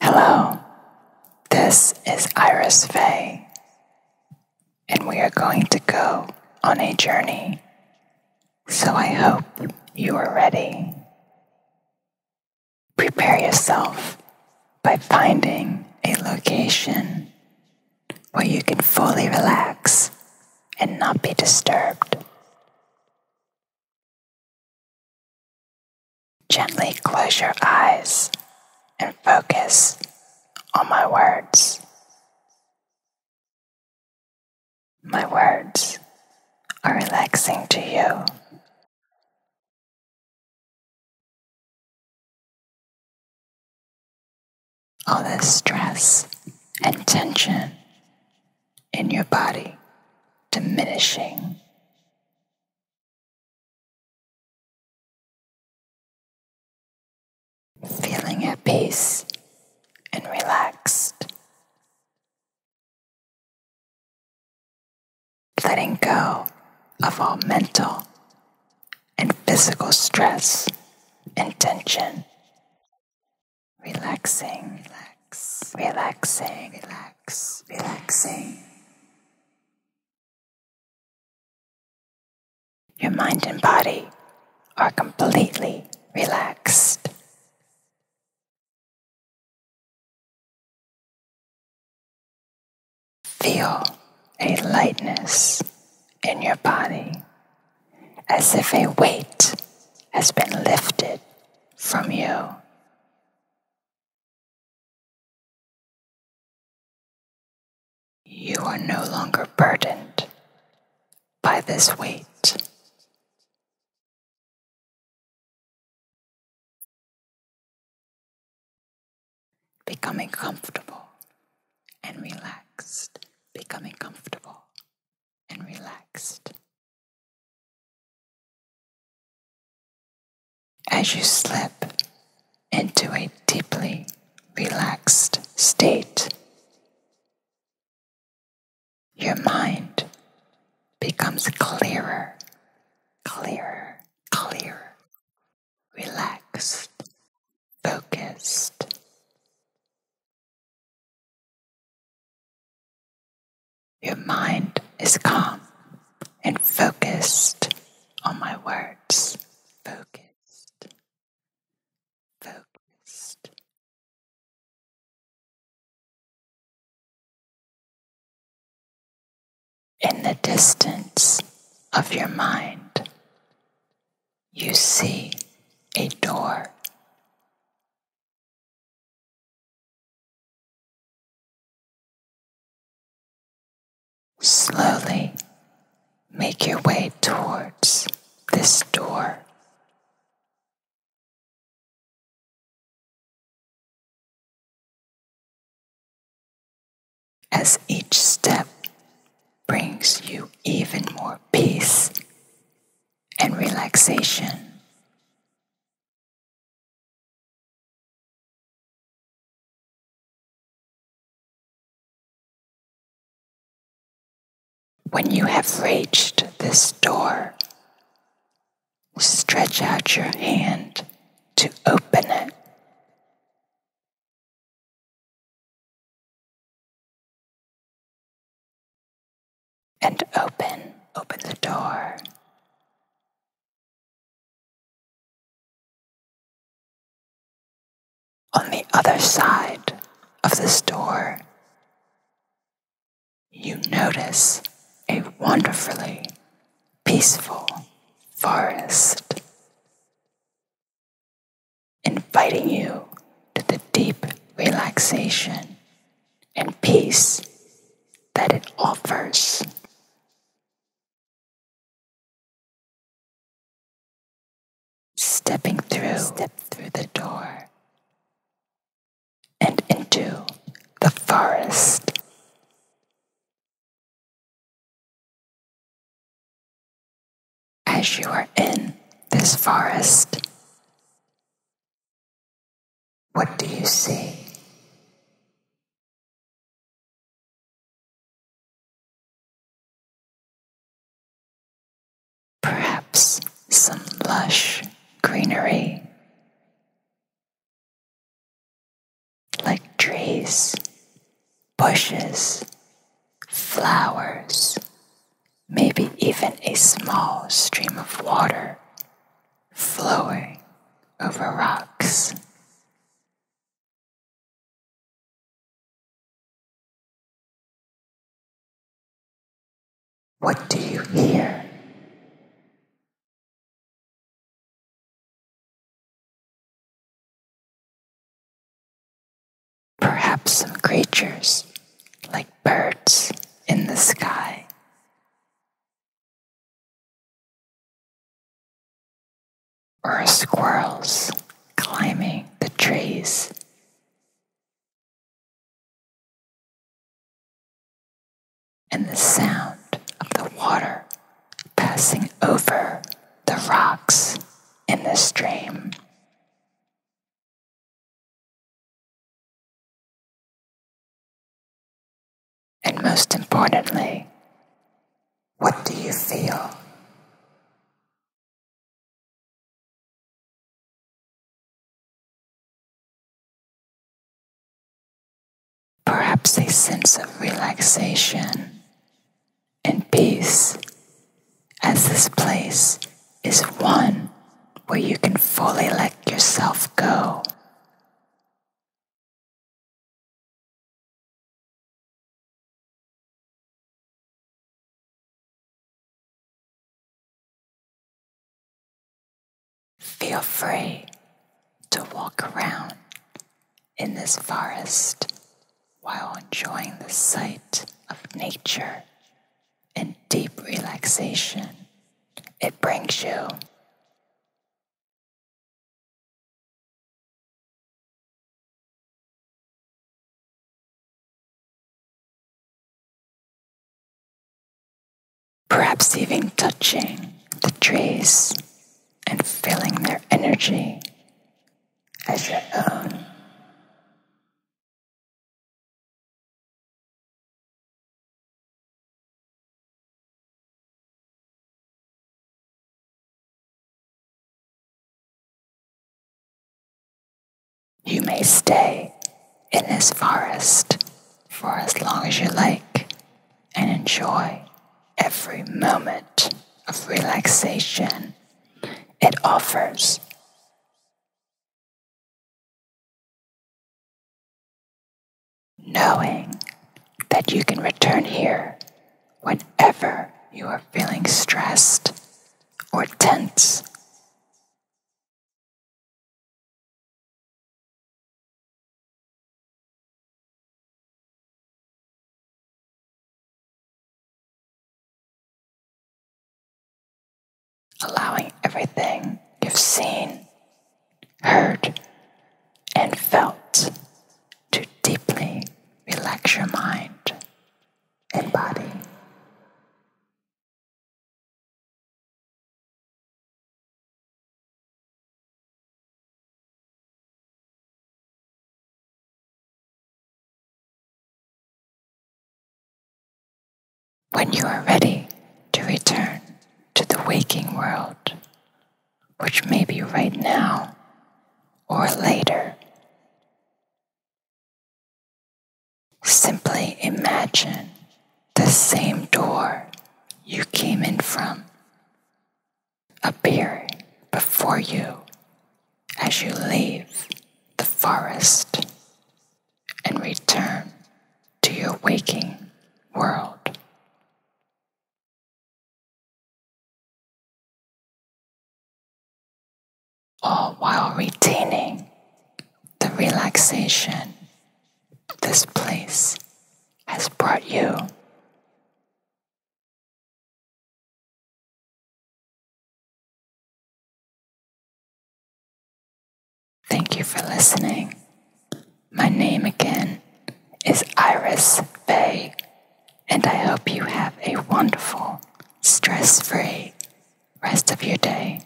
Hello, this is Iris Faye, and we are going to go on a journey. So I hope you are ready. Prepare yourself by finding a location where you can fully relax and not be disturbed. Gently close your eyes and focus on my words. My words are relaxing to you. All the stress and tension in your body diminishing. Feeling at peace and relaxed. Letting go of all mental and physical stress and tension relaxing, relax, relaxing, relax, relaxing. Your mind and body are completely relaxed. Feel a lightness in your body as if a weight has been lifted from you. You are no longer burdened by this weight. Becoming comfortable and relaxed, becoming comfortable and relaxed. As you slip into a deeply relaxed state, your mind becomes clearer, clearer, clearer, relaxed, focused, your mind is calm and focused on my words. Focused. Focused. In the distance of your mind, you see a door Slowly make your way towards this door. As each step brings you even more peace and relaxation. When you have reached this door, stretch out your hand to open it and open, open the door. On the other side of this door, you notice a wonderfully peaceful forest inviting you to the deep relaxation and peace that it offers. Stepping through, the door and into the forest. As you are in this forest, what do you see? Perhaps some lush greenery, like trees bushes, flowers, maybe even a small stream of water flowing over rocks. What do you hear? Perhaps some creatures like birds in the sky. Or squirrels climbing the trees. And the sound of the water passing over the rocks in the stream. And most importantly, what do you feel? Perhaps a sense of relaxation in peace, as this place is one where you can fully let yourself go. Feel free to walk around in this forest while enjoying the sight of nature and deep relaxation it brings you. Perhaps even touching the trees and feeling their energy as your own. You may stay in this forest for as long as you like and enjoy every moment of relaxation it offers. Knowing that you can return here whenever you are feeling stressed or tense allowing everything you've seen, heard, and felt to deeply relax your mind and body. When you are ready to return to the waking world, which may be right now or later, simply imagine the same door you came in from appear before you as you leave the forest and return to your waking world. All while retaining the relaxation this place has brought you. Thank you for listening. My name again is Iris Bay, and I hope you have a wonderful, stress free rest of your day.